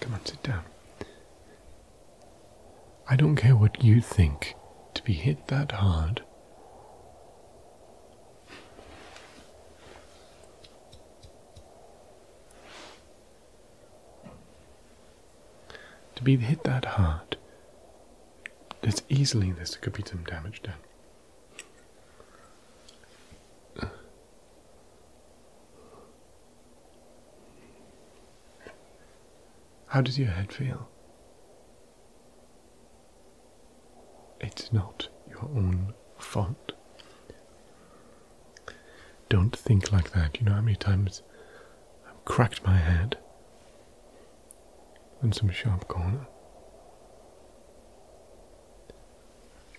Come on, sit down. I don't care what you think, to be hit that hard. To be hit that hard, It's easily this could be some damage done. How does your head feel? It's not your own fault. Don't think like that. You know how many times I've cracked my head in some sharp corner?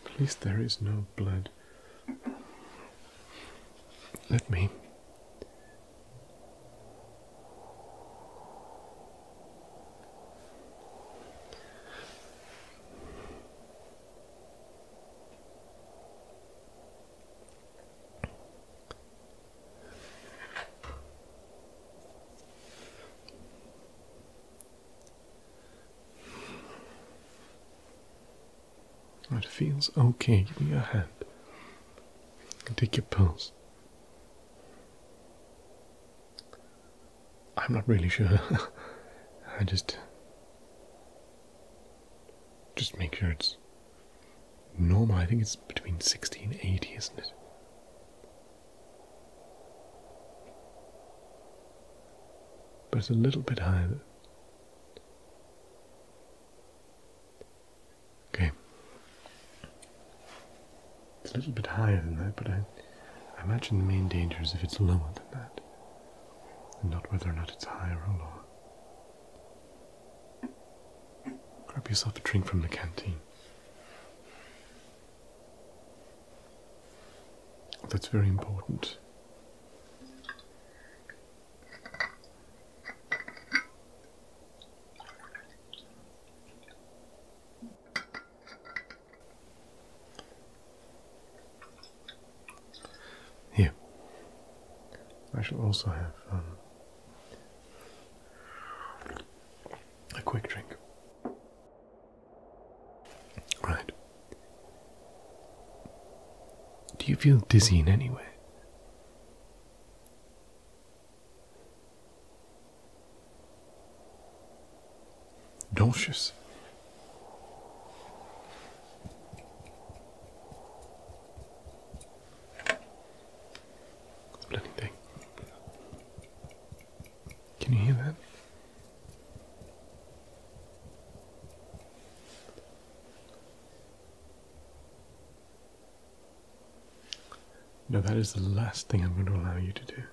At least there is no blood. Let me it feels okay. Give me your hand. Take your pulse. I'm not really sure. I just just make sure it's normal. I think it's between 60 and 80, isn't it? But it's a little bit higher. Okay. It's a little bit higher than that, but I, I imagine the main danger is if it's lower than that, and not whether or not it's higher or lower. Grab yourself a drink from the canteen. That's very important. Here, I shall also have um, a quick drink. Right. Do you feel dizzy in any way? Dolcius. Bloody thing. Can you hear that? No, that is the last thing I'm going to allow you to do.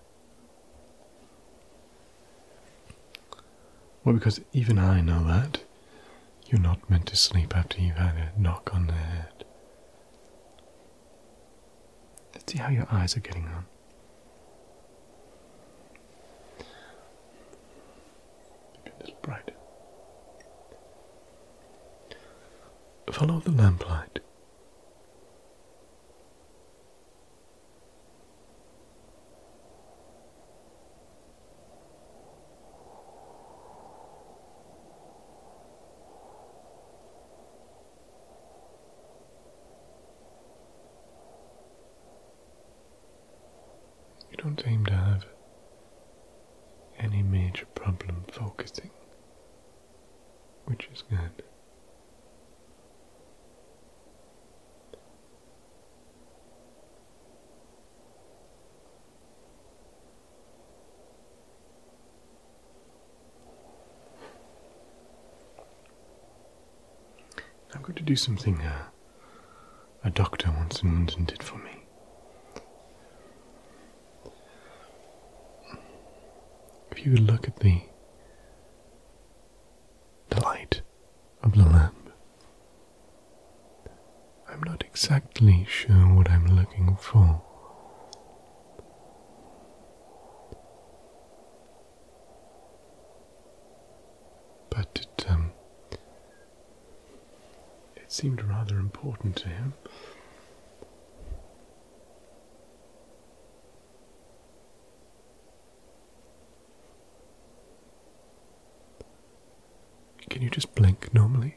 Well, because even I know that you're not meant to sleep after you've had a knock on the head. Let's see how your eyes are getting on. a little brighter. Follow the lamplight. You don't seem to have any major problem focusing which is good. I'm going to do something uh, a doctor once in London did for me. If you look at the, light of the lamp, I'm not exactly sure what I'm looking for. But it, um, it seemed rather important to him. Can you just blink normally?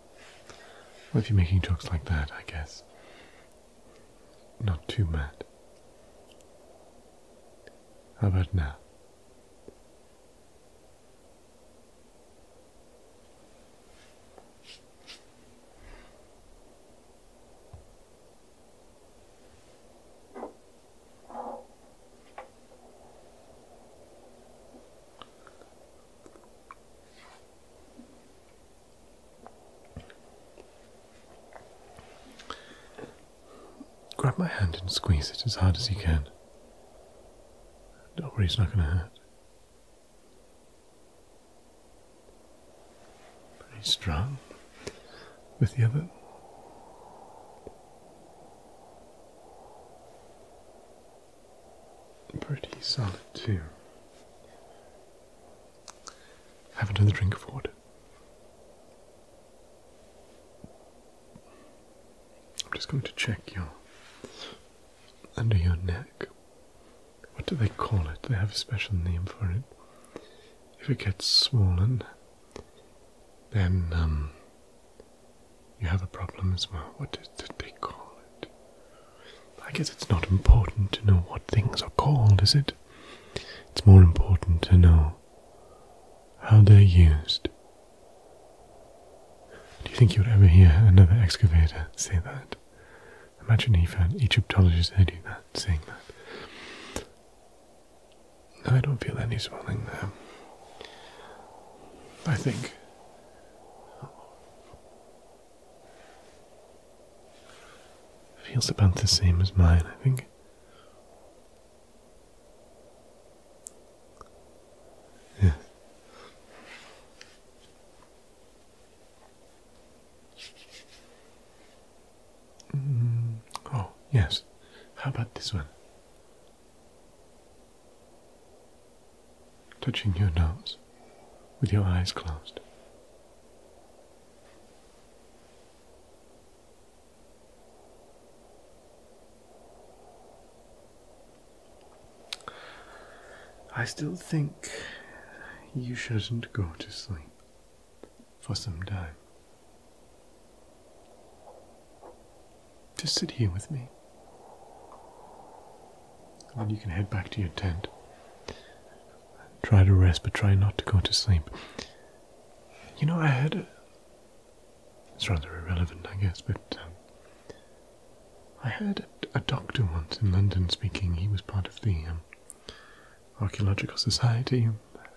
if you're making jokes like that, I guess. Not too mad. How about now? Grab my hand and squeeze it as hard as you can. Don't worry, it's not going to hurt. Very strong with the other pretty solid too. Have not the drink of water. I'm just going to check your under your neck. What do they call it? They have a special name for it. If it gets swollen, then um, you have a problem as well. What did, did they call it? I guess it's not important to know what things are called, is it? It's more important to know how they're used. Do you think you would ever hear another excavator say that? Imagine if an Egyptologist they that, saying that. I don't feel any swelling there. I think. Feels about the same as mine, I think. Yeah. Mm, oh, yes. How about this one? touching your nose with your eyes closed. I still think you shouldn't go to sleep for some time. To sit here with me. Then you can head back to your tent. Try to rest, but try not to go to sleep. You know, I had. it's rather irrelevant, I guess, but um, I heard a, doctor once in London speaking. He was part of the um, Archaeological Society,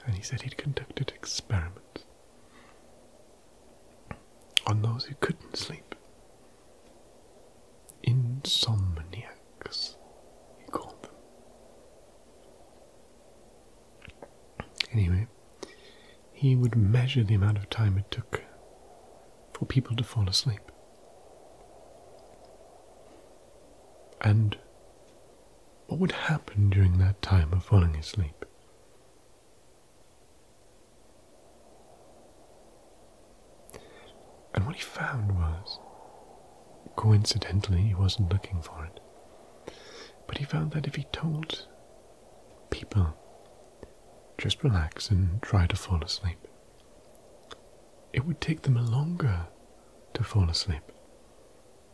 and he said he'd conducted experiments on those who couldn't sleep. Insomniacs, he called them. Anyway, he would measure the amount of time it took for people to fall asleep. And what would happen during that time of falling asleep? And what he found was, coincidentally, he wasn't looking for it, but he found that if he told people, just relax and try to fall asleep, it would take them longer to fall asleep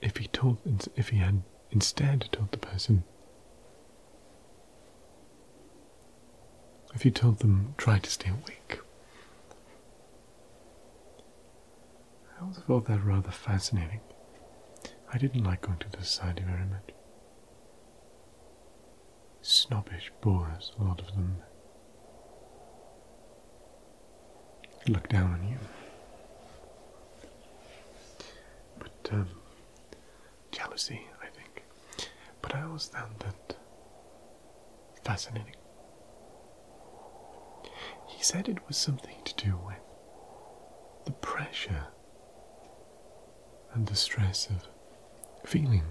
if he told if he had instead told the person if you told them, try to stay awake. I always thought that rather fascinating. I didn't like going to the society very much. Snobbish bores, a lot of them. Look down on you. But, um, jealousy, I think. But I always found that fascinating. He said it was something to do with the pressure and the stress of feeling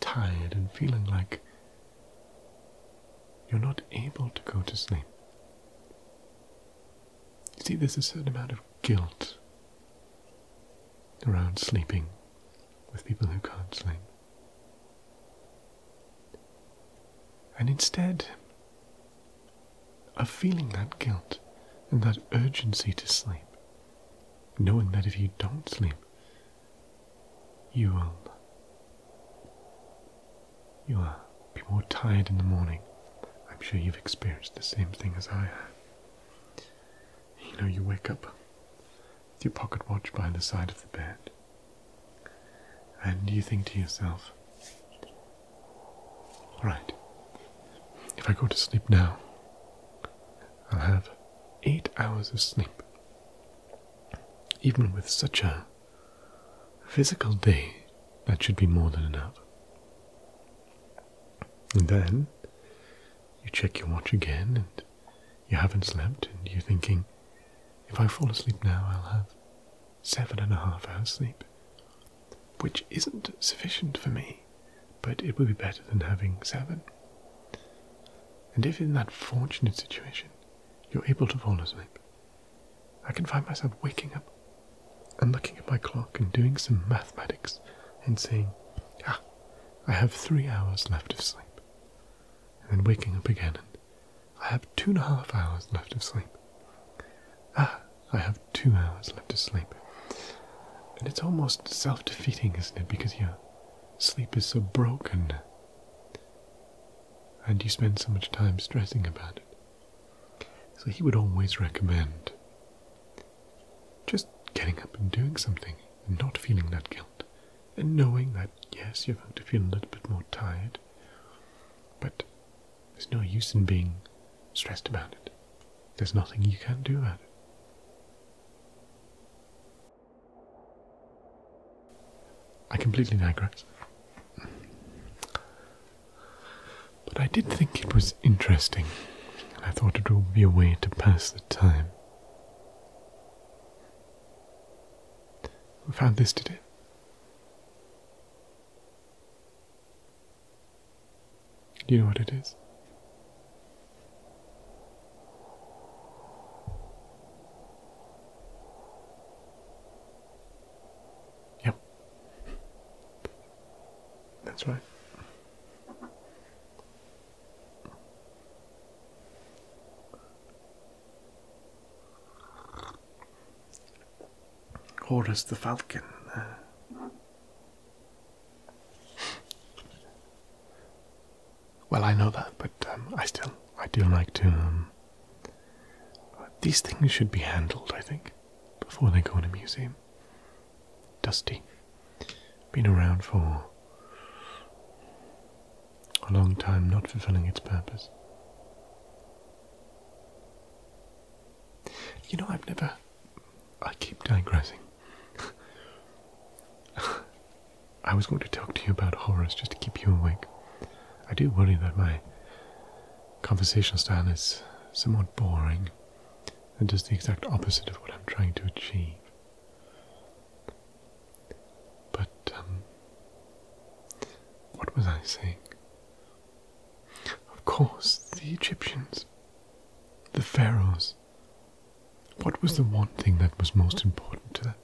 tired and feeling like you're not able to go to sleep. You see, there's a certain amount of guilt around sleeping with people who can't sleep. And instead of feeling that guilt and that urgency to sleep, knowing that if you don't sleep, you will you will be more tired in the morning. I'm sure you've experienced the same thing as I have. You know, you wake up with your pocket watch by the side of the bed, and you think to yourself, Alright, if I go to sleep now, I'll have eight hours of sleep. Even with such a physical day, that should be more than enough. And then you check your watch again, and you haven't slept and you're thinking, if I fall asleep now, I'll have seven and a half hours sleep, which isn't sufficient for me, but it would be better than having seven. And if in that fortunate situation you're able to fall asleep, I can find myself waking up and looking at my clock and doing some mathematics and saying, ah, I have three hours left of sleep, and then waking up again, and I have two and a half hours left of sleep. Ah, I have two hours left of sleep. And it's almost self defeating, isn't it? Because your sleep is so broken, and you spend so much time stressing about it. So he would always recommend just getting up and doing something and not feeling that guilt, and knowing that, yes, you're going to feel a little bit more tired, but there's no use in being stressed about it. There's nothing you can do about it. I completely digress. But I did think it was interesting, and I thought it would be a way to pass the time. We found this today. do. Do you know what it is? Yep. That's right. Horus the Falcon. well, I know that, but um, I still I do like to. Um, these things should be handled, I think, before they go in a museum. Dusty been around for a long time, not fulfilling its purpose. You know, I've never. I keep digressing. I was going to talk to you about horrors just to keep you awake. I do worry that my conversation style is somewhat boring and does the exact opposite of what I'm trying to achieve. But, um, what was I saying? Of course, the Egyptians, the pharaohs. What was the one thing that was most important to them?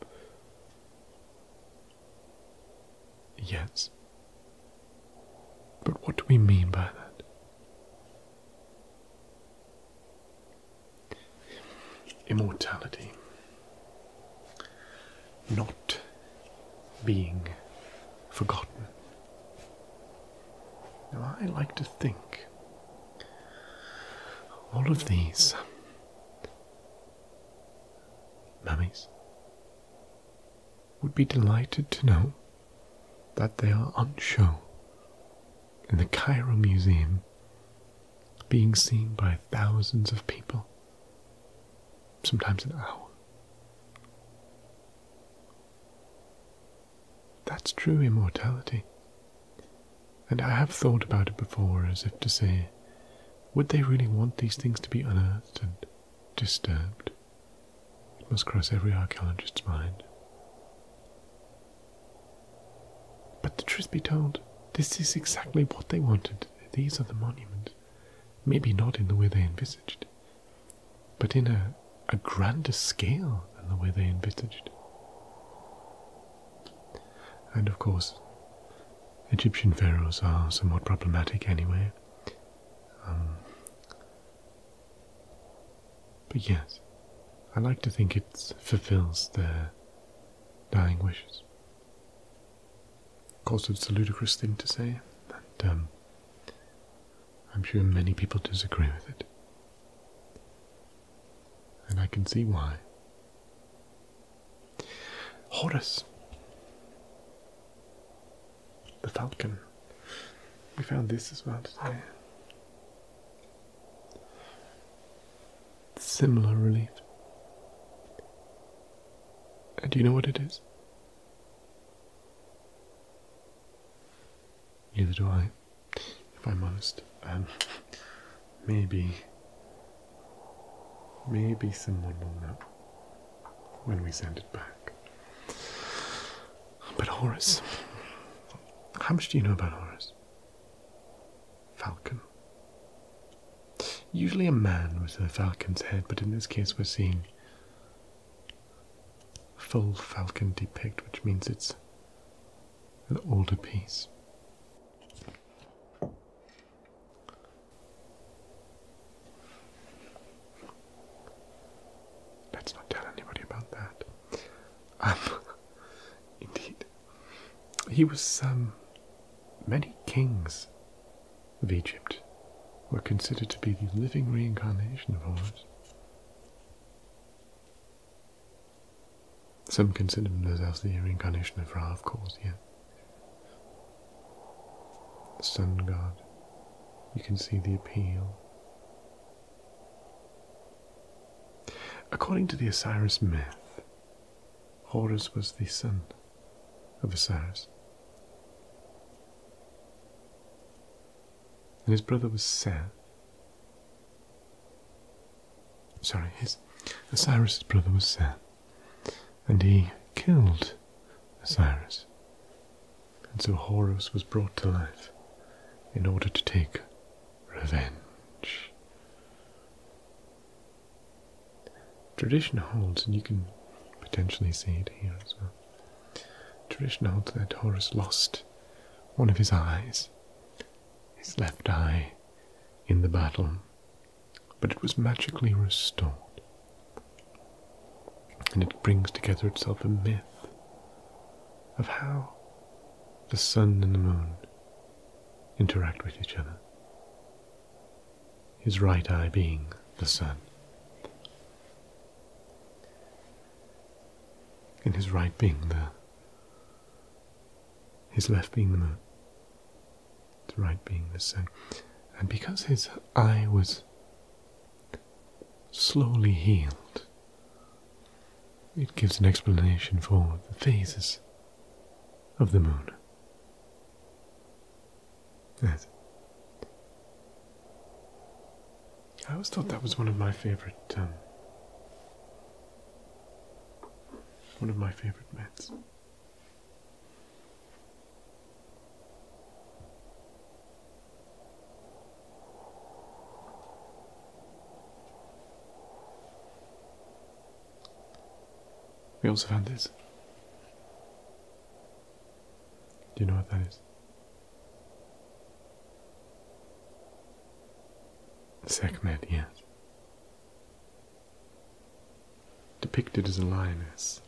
Yes. But what do we mean by that? Immortality. Not being forgotten. Now, I like to think all of these mummies would be delighted to know that they are on show in the Cairo Museum being seen by thousands of people, sometimes an hour. That's true immortality. And I have thought about it before as if to say, would they really want these things to be unearthed and disturbed? It must cross every archaeologist's mind. But the truth be told, this is exactly what they wanted. These are the monuments. Maybe not in the way they envisaged, but in a, grander scale than the way they envisaged. And of course, Egyptian pharaohs are somewhat problematic anyway. Um, but yes, I like to think it fulfills their dying wishes. Of course, it's a ludicrous thing to say, and um, I'm sure many people disagree with it. And I can see why. Horus, the falcon. We found this as well today similar relief. And do you know what it is? Neither do I, if I'm honest. Um, maybe, maybe someone will know when we send it back. But Horace, how much do you know about Horace? falcon. Usually a man with a falcon's head, but in this case we're seeing full falcon depict, which means it's an older piece. Let's not tell anybody about that. Um, indeed. He was, um, many kings of Egypt were considered to be the living reincarnation of Horus. Some considered him as the reincarnation of Ra, of course, yeah. The sun god. You can see the appeal According to the Osiris myth, Horus was the son of Osiris, and his brother was Seth. Sorry, his Osiris's brother was Seth, and he killed Osiris, and so Horus was brought to life in order to take revenge. Tradition holds, and you can potentially see it here as well. Tradition holds that Horus lost one of his eyes, his left eye, in the battle, but it was magically restored. And it brings together itself a myth of how the sun and the moon interact with each other. His right eye being the sun, and his right being the his left being the moon, his right being the sun. And because his eye was slowly healed it gives an explanation for the phases of the moon. Yes. I always thought that was one of my favorite, um, one of my favorite myths. We also found this. Do you know what that is? Sekhmet, yes. Depicted as a lioness.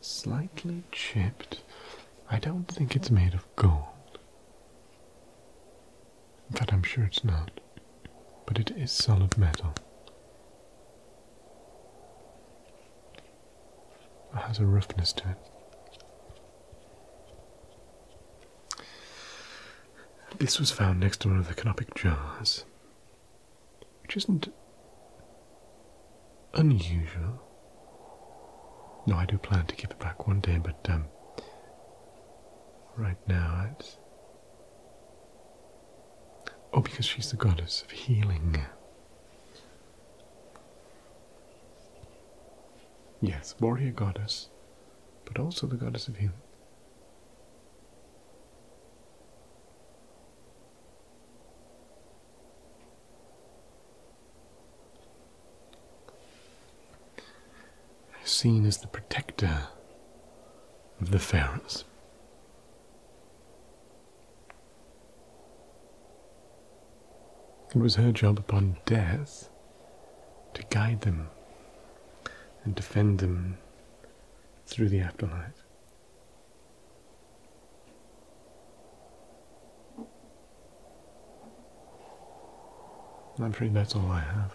Slightly chipped. I don't think it's made of gold. In fact, I'm sure it's not. But it is solid metal. It has a roughness to it. This was found next to one of the canopic jars, which isn't unusual. No, I do plan to give it back one day, but um, right now it's Oh, because she's the goddess of healing. Yes, warrior goddess, but also the goddess of healing seen as the protector of the pharaohs. It was her job upon death to guide them and defend them through the afterlife. I'm afraid that's all I have.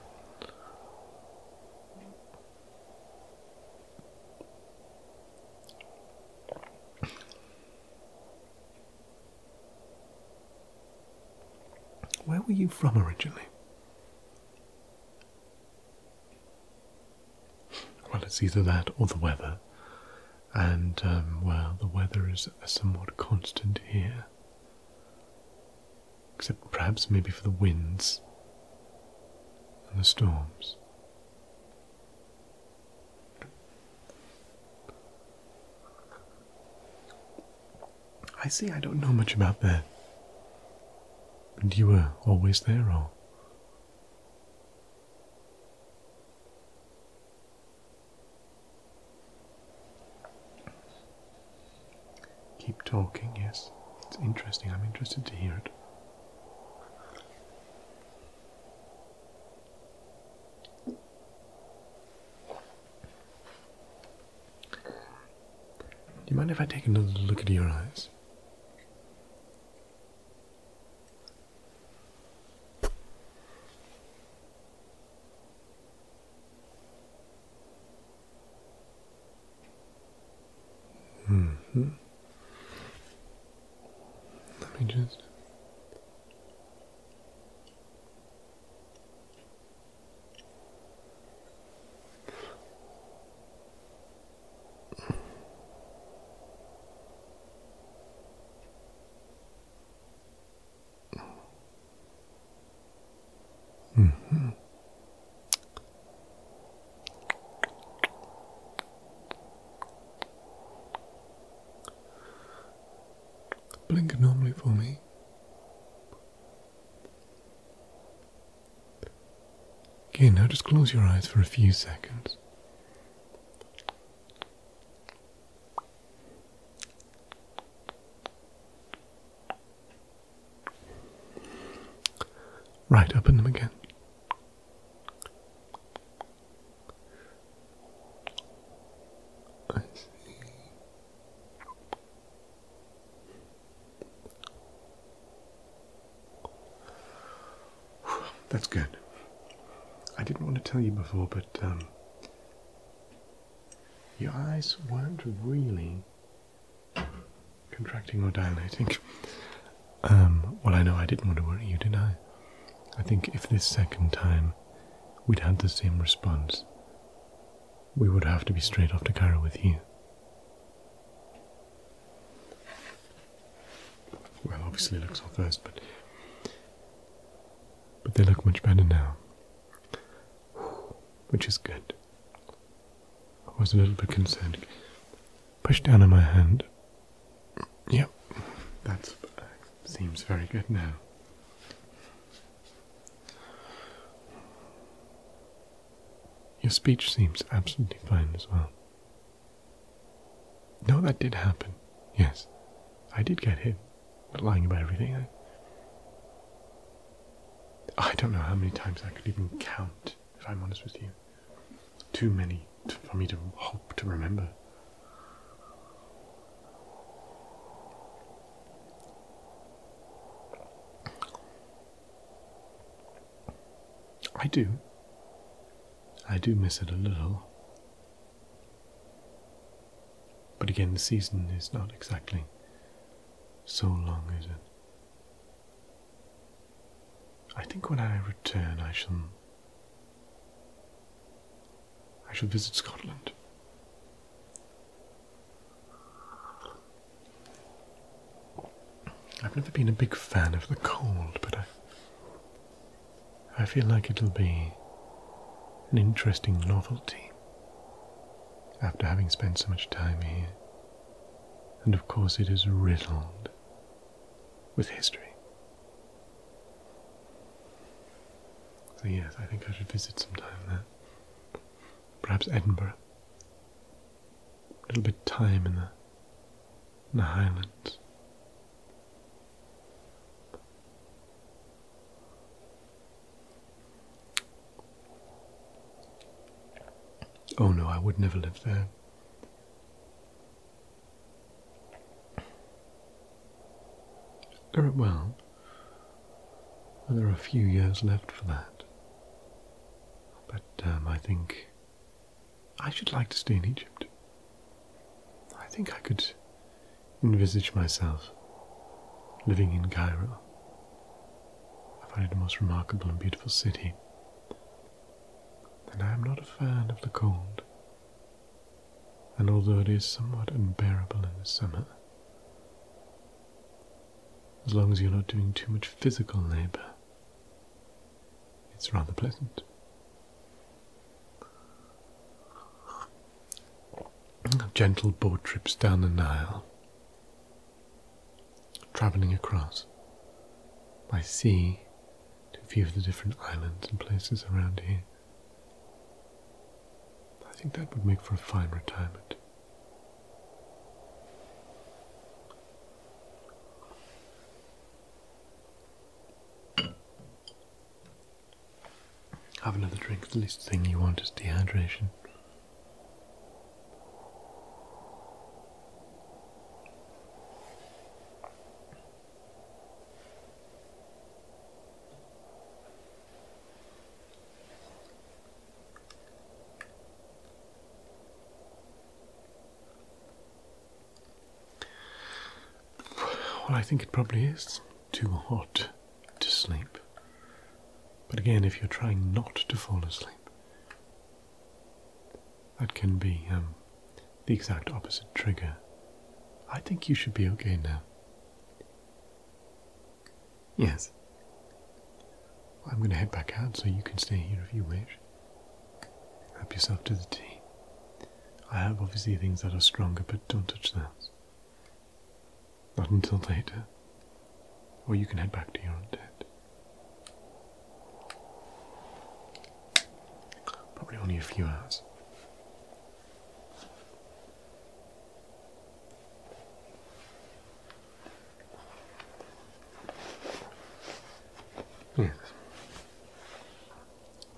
Where were you from originally? Well, it's either that or the weather, and um, well, the weather is somewhat constant here except perhaps maybe for the winds and the storms. I see I don't know much about that. And you were always there, all. Keep talking, yes. It's interesting. I'm interested to hear it. Do you mind if I take another look at your eyes? -hmm. Let me just. Mm-hmm. Blink normally for me. Okay, now just close your eyes for a few seconds. Right, open them again. I see. That's good. I didn't want to tell you before, but um, your eyes weren't really Contracting or dilating? Um, well, I know I didn't want to worry you, did I? I think if this second time we'd had the same response, we would have to be straight off to Cairo with you. Well, obviously it looks all first, but but they look much better now, which is good. I was a little bit concerned. Push down on my hand. Yep, that seems very good now. Your speech seems absolutely fine as well. No, that did happen. Yes, I did get hit. Not lying about everything. I don't know how many times I could even count, if I'm honest with you. Too many for me to hope to remember. I do. I do miss it a little. But again, the season is not exactly so long, is it? I think when I return, I shall. I shall visit Scotland. I've never been a big fan of the cold, but I. I feel like it'll be an interesting novelty after having spent so much time here. And of course, it is riddled with history. So, yes, I think I should visit sometime there. Perhaps Edinburgh. A little bit time in the Highlands. Oh no, I would never live there. Very well, and there are a few years left for that. But um, I think I should like to stay in Egypt. I think I could envisage myself living in Cairo I find it a most remarkable and beautiful city, and I am not a fan of the cold. And although it is somewhat unbearable in the summer, as long as you're not doing too much physical labor, it's rather pleasant. Gentle boat trips down the Nile travelling across by sea to view of the different islands and places around here. I think that would make for a fine retirement. Have another drink. The least thing you want is dehydration. Well, I think it probably is too hot to sleep. But again, if you're trying not to fall asleep, that can be um, the exact opposite trigger. I think you should be okay now. Yes. I'm going to head back out so you can stay here if you wish. Help yourself to the tea. I have obviously things that are stronger, but don't touch those. Not until later. Or you can head back to your own tent. Probably only a few hours. Yes.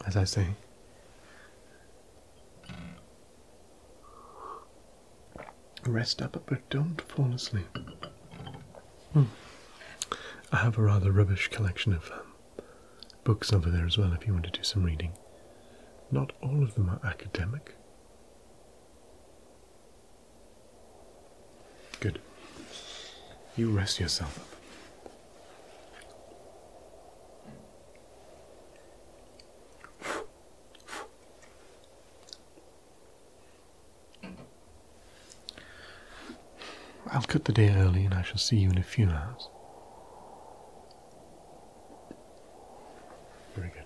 As I say, Rest up, but don't fall asleep. Hmm. I have a rather rubbish collection of um, books over there as well if you want to do some reading. Not all of them are academic. Good. You rest yourself up. I'll cut the day early and I shall see you in a few hours. Very good.